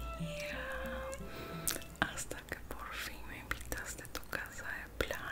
Amiga, hasta que por fin me invitaste a tu casa de playa.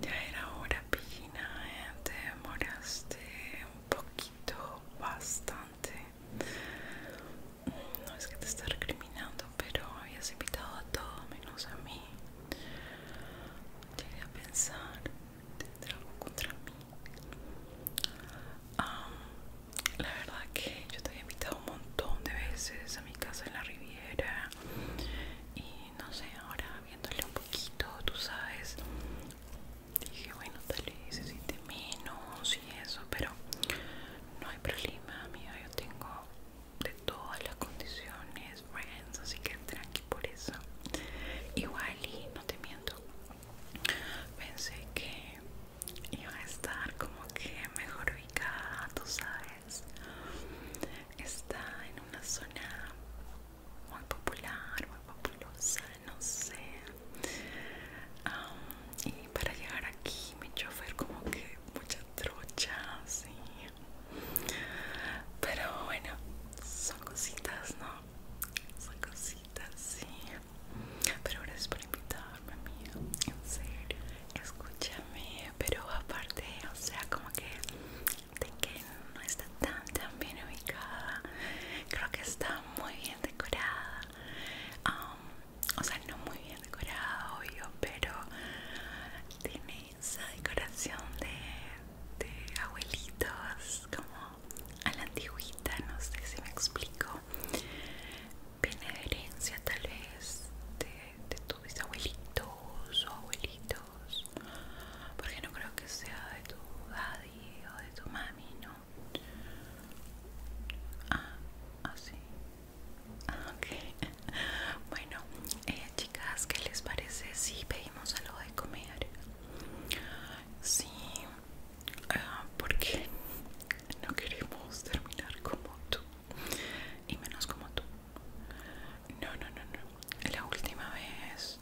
Ya era hora, Pigina, ¿eh? te demoraste un poquito, bastante. No es que te esté recriminando, pero habías invitado a todo menos a mí. Llegué a pensar, tendrá algo contra mí. la verdad que yo te había invitado un montón de veces a mi casa en la Riviera y no sé, ahora viéndole un poquito, tú sabes, dije bueno tal vez necesite menos y eso pero no hay problema amigo yo tengo de todas las condiciones friends así que tranqui por eso igual y no te miento pensé que iba a estar como que mejor ubicada sabes está en una zona muy popular muy populosa no sé. y para llegar aquí, mi chofer, como que mucha trocha, sí. Pero bueno, son cositas, ¿no? Son cositas, sí. Pero gracias por invitarme, amigo En serio, escúchame. Pero aparte, o sea, como que de que no está tan, tan bien ubicada, creo que está muy bien decorada o sea no muy bien decorado obvio pero tiene esa decoración de, abuelitos como a la antigüita no sé si me explico viene herencia tal vez de, de tus abuelitos o abuelitos porque no creo que sea de tu daddy o de tu mami no Ah, así. Ah, ah, ok Bueno, eh, chicas, ¿qué les parece si pedimos algo de comer? Sí, ah, porque no queremos terminar como tú y menos como tú. No, no, no, no. La última vez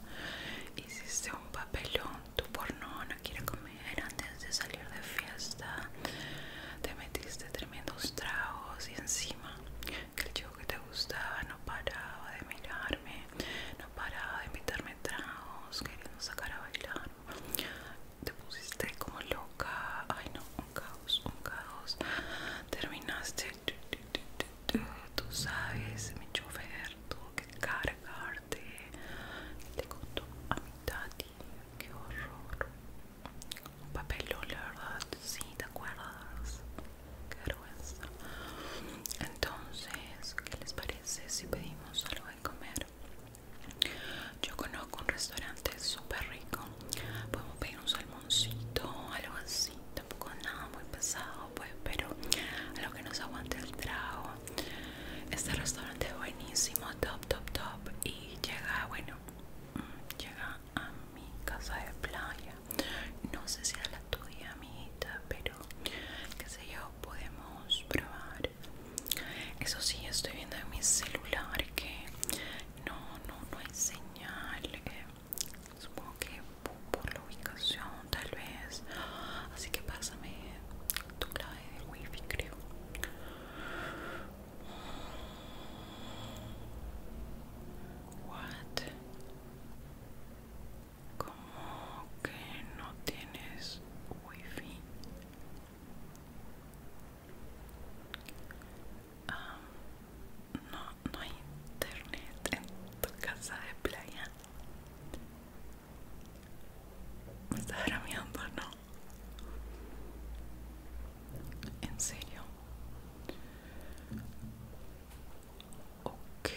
hiciste un papelón. Tú por no, no quiero comer. Era antes de salir de fiesta te metiste tremendos tragos y encima que el chico que te gustaba no paraba de mirarme no paraba de invitarme tragos queriendo sacar a bailar te pusiste como loca ay no un caos un caos terminaste Tú sabes, mi chofer tuvo que cargarte. Te costó a mi tati, qué horror. Un papelón, la verdad, Si ¿te acuerdas? Qué vergüenza. Entonces, ¿qué les parece si pedimos algo de comer? Yo conozco un restaurante súper rico. Podemos pedir un salmoncito, algo así. Tampoco nada muy pesado, pues, pero a lo que nos aguante el trago. Este restaurante buenísimo, top, top, top. Y llega, bueno, mm, llega a mi casa de playa. No sé si es la tuya, amiguita, pero qué sé yo, podemos probar. Eso sí, estoy viendo en mi celular que no, no, no hay señal. Eh. supongo que por la ubicación, tal vez. Así que pásame tu clave de wifi creo what como que no tienes wifi Ah, no hay internet en tu casa de playa estás bromeando, ¿no? ¿En serio? Ok.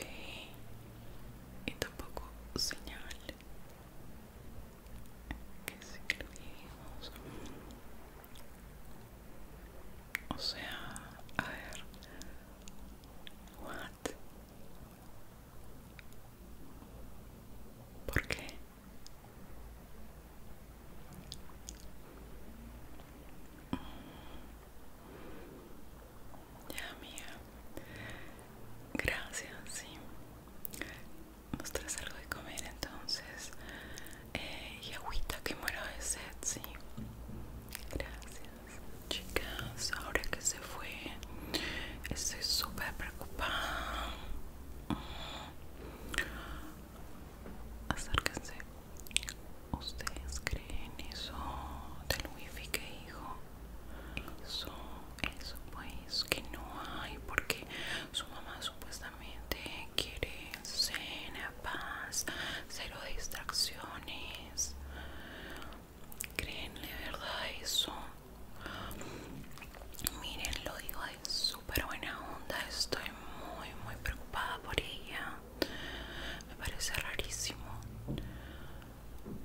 Y tampoco señal que si lo vivimos. O sea, a ver. What? ¿Por qué? Ya, amiga. Gracias, sí. Nos traes algo de comer entonces. Eh, y agüita que muero de sed, sí. Gracias. Chicas, ahora que se fue, estoy súper preocupada. Acérquense. ¿Ustedes creen eso del wifi que dijo? Eso, eso pues que no hay porque su mamá supuestamente quiere cena, paz, cero distracciones. ¿Creen de verdad eso? Miren, lo digo de súper buena onda. Estoy muy, muy preocupada por ella. Me parece rarísimo.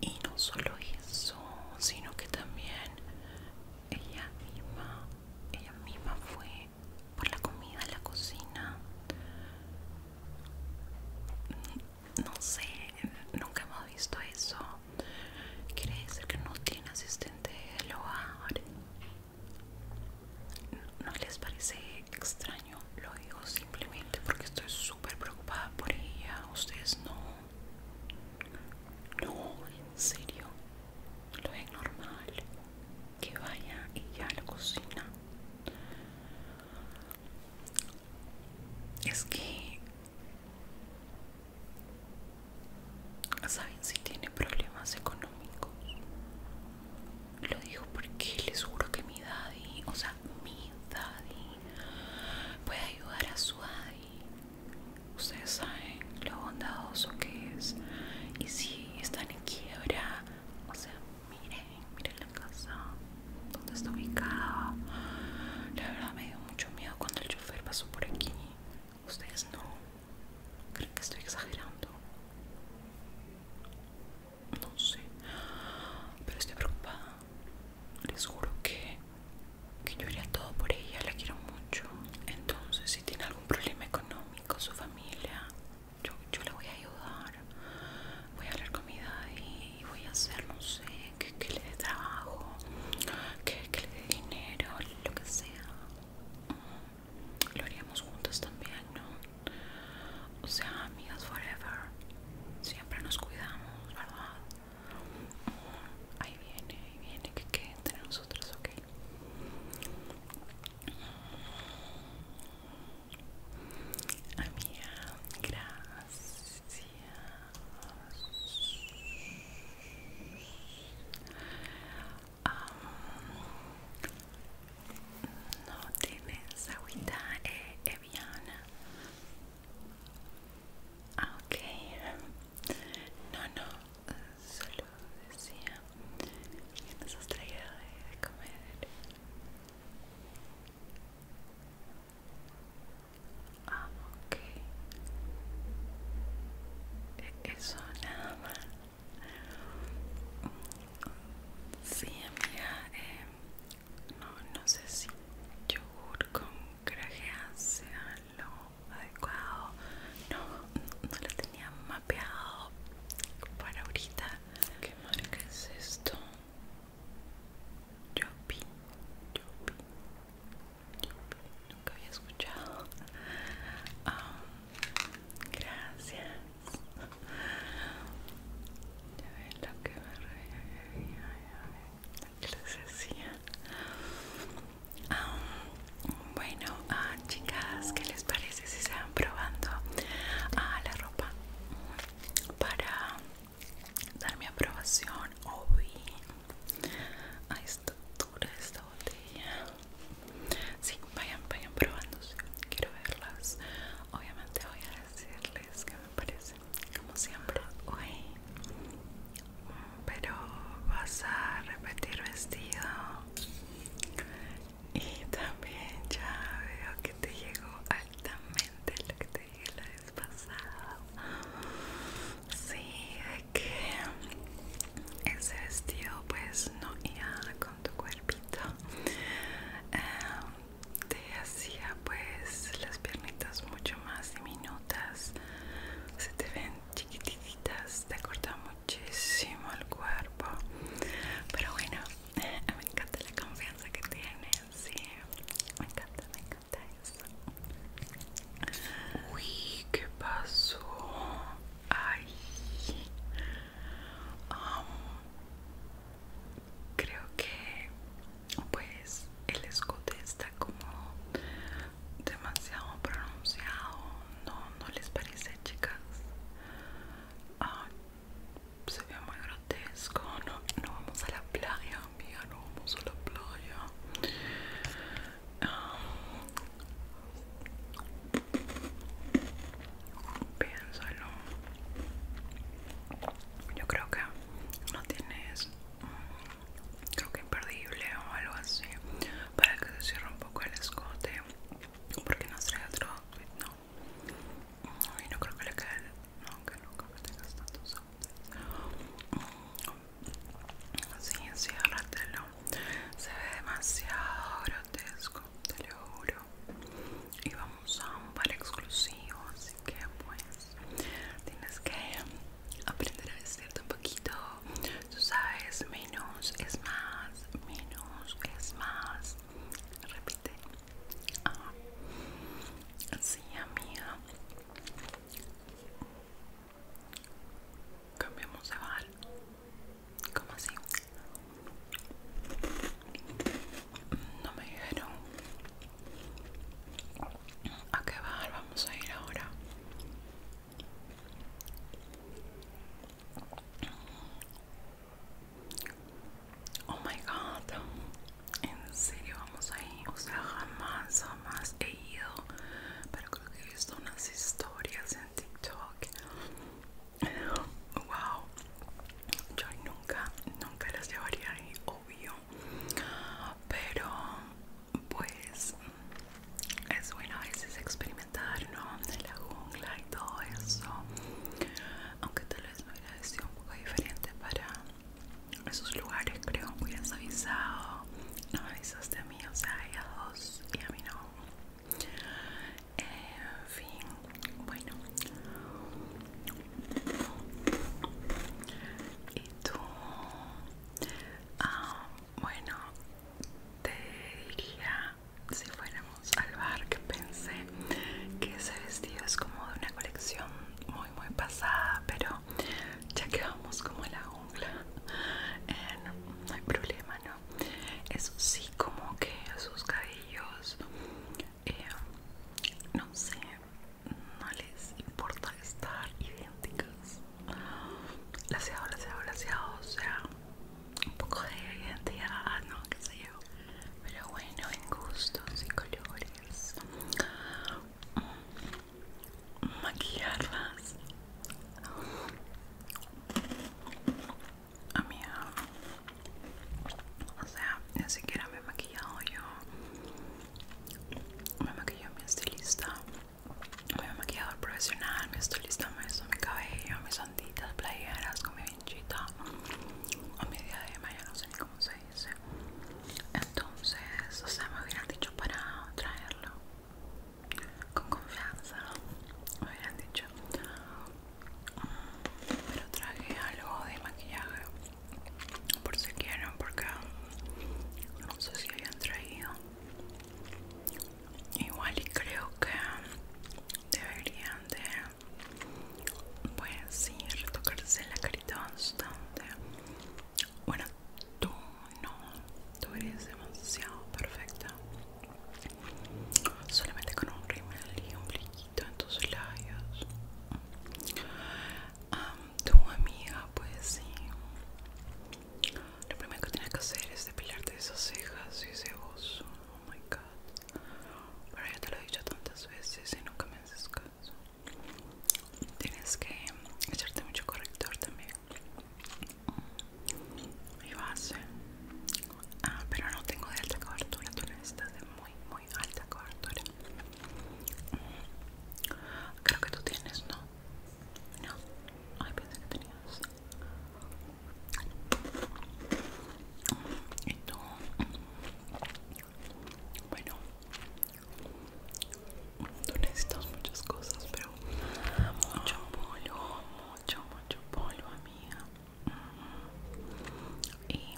Y no solo eso, sino que también ella misma, ella misma fue por la comida en la cocina no sé, nunca hemos visto eso. Quiere decir que no tiene asistente del hogar. ¿No les parece extraño? Lo digo simplemente porque estoy súper preocupada por ella. Ustedes no. No, en serio. Lo es normal que vaya ella a la cocina. Es que ¿Saben si tiene problemas económicos? Lo digo porque les juro que mi daddy, o sea, mi daddy, puede ayudar a su daddy. Ustedes saben lo bondadoso que es. Y si están en quiebra, o sea, miren, miren la casa dónde está ubicada? La verdad me dio mucho miedo cuando el chofer pasó por aquí. Ustedes no. ¿Creen que estoy exagerando? No sé. Pero estoy preocupada. Les juro que, yo haría todo por ella. La quiero mucho. Entonces, si tiene algún problema económico, su familia, yo, yo la voy a ayudar voy a hablar comida y voy a hacer, no sé, que, le dé trabajo, que, le dé dinero, lo que sea. Mm, lo haríamos juntas también, ¿no? O sea, amigas forever. Siempre nos cuidamos, ¿verdad? Mm, ahí viene, ahí viene, que quede entre nosotros, ¿ok? Mm. Amiga, gracias. Um, no tienes agüita eh, Eviana. Ah, ok. No, no. Solo decía que nos has de comer. Ah, ok. E-, eso nada más. Sí, amiga. Eh, no, no sé si yogur con crajea sea lo adecuado. No, no lo tenía mapeado para ahorita. ¿Qué marca es esto? Yopi, Yopi, nunca había escuchado. Ah, gracias. Ya ven lo que me reía, lo que les decía. Ah, bueno, ah, chicas, ¿qué les parece si se van probando la ropa para dar mi aprobación hoy a esta de esta botella. Sí, vayan, vayan probándose. Quiero verlas. Obviamente voy a decirles que me parecen, como siempre, hoy. Pero vas a repetir vestido. Y también ya veo que te llegó altamente lo la vez Sí, que ese vestido pues no iba con tu cuerpito. Em, te hacía pues las piernitas mucho más diminutas. Se te ven chiquititas, te corta muchísimo el cuerpo. Pero bueno, me encanta la confianza que tienes. Sí, me encanta, me encanta. Uy, ¿qué pasó? creo que pues el escote está como demasiado pronunciado. No, no les parece, chicas. se ve muy grotesco. No, no vamos a la playa vamos a la playa. Ah, piénsalo. Yo creo que no tienes, mm, creo que imperdible o algo así, para que se cierre un poco el escote, porque no trae otro outfit, no. Y no creo que le quede, no, que nunca me tengas tanto Sí, enciérratelo. Se ve demasiado grotesco, te lo juro. Y vamos a un par exclusivo, así que pues tienes que aprender a decirte un poquito. Tú sabes, menos es más, menos es más. Repite, Ah, sí, amiga. Cambiamos de bar. ¿Cómo así? No me dijeron. ¿A qué bar vamos a ir ahora? Oh my god, en serio vamos ahí. O sea, jamás, jamás he ido. Pero creo que he visto unas historias en TikTok. Wow, yo nunca, nunca las llevaría ahí, obvio. Pero, pues, es bueno a veces experimentar, ¿no? De la jungla y todo eso. Aunque tal vez me hubiera sido un poco diferente para esos lugares creo hubieras avisado no me avisaste a mí o sea a dos y a mí no en fin bueno y tú ah, bueno te diría si fuéramos al bar que pensé que ese vestido es como de una colección muy pasada pero ya que vamos como en la jungla eh, no, hay problema no eso sí como que sus cabellos eh, no sé no les importa estar idénticas laseado laseado laseado o sea un poco de identidad no qué sé yo pero bueno en gustos y colores maquillarlas A amiga o sea ni siquiera me he maquillado yo me maquillado mi estilista mi maquillador profesional mi estilista me hizo mi cabello mis sanditas playeras con mi vinchita o mi diadema ya no sé ni cómo se entonces o sea me hubieran dicho para traerlo con confianza me hubieran dicho mm, pero traje algo de maquillaje por si quieren porque no sé si habían traído igual y creo que deberían de pues sí, retocarse la carita bastante. Bueno, tú no, tú eres demasiado perfecta. Solamente con un rimel y un brillito en tus labios. tu amiga, pues sí. Lo primero que tienes que hacer es depilarte esas cejas y ese oso. Oh my god. Pero ya te lo he dicho tantas veces y nunca me haces caso tienes que echarte mucho corrector también y base eh. ah, pero no tengo de alta cobertura tú necesitas de muy muy alta cobertura mm, creo que tú tienes no no ay pensé que tenías y tú mm, bueno Tú necesitas muchas cosas, pero mucho polvo, mucho, mucho polvo, amiga. Y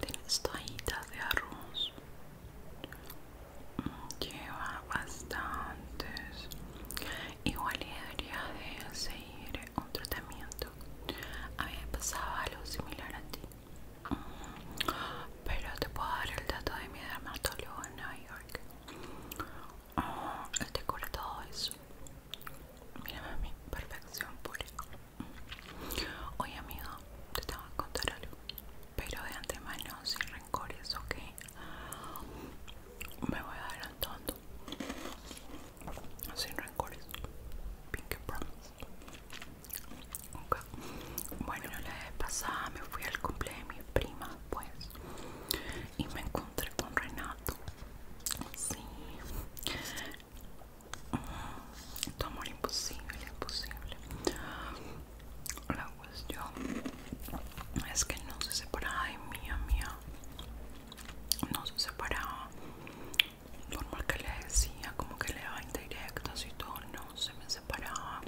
tienes toallitas de arroz. Mm, lleva bastantes. Igual debería de seguir un tratamiento. A mí pasaba algo similar a ti. Pero te puedo dar el dato de mi dermatólogo en Nueva York. él te cura todo eso. Mírame a perfección pura. Oye, amigo, te tengo que contar algo. Pero de antemano, sin rencores, ok. Me voy adelantando. Sin rencores. Pinky promise. Bueno, la vez pasada me fui al cumple de mi prima pues, y me encontré con Renato. Sí. Mm, tu amor imposible, imposible. La cuestión es que no se separaba de mía mía No se separaba normal que le decía como que le daba indirectos y todo no se me separaba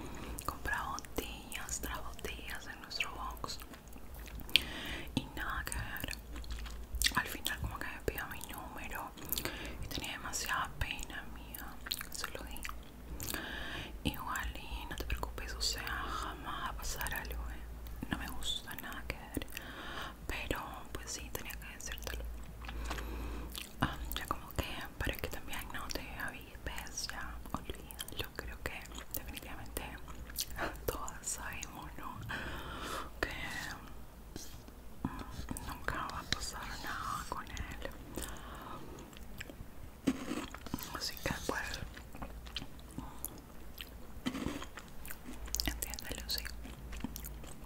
compraba botellas tras en nuestro box y nada que ver al final como que me pidió mi número y tenía demasiada pena mía se lo di igual y no te preocupes o sea jamás va a pasar algo ¿eh? no me gusta nada que ver pero pues sí tenía que decírtelo Ah, ya como que es que también no te avises ya olvídalo creo que definitivamente todas sabemos ¿no? que mm, nunca va a pasar nada con él así que pues Entiéndelo, sí.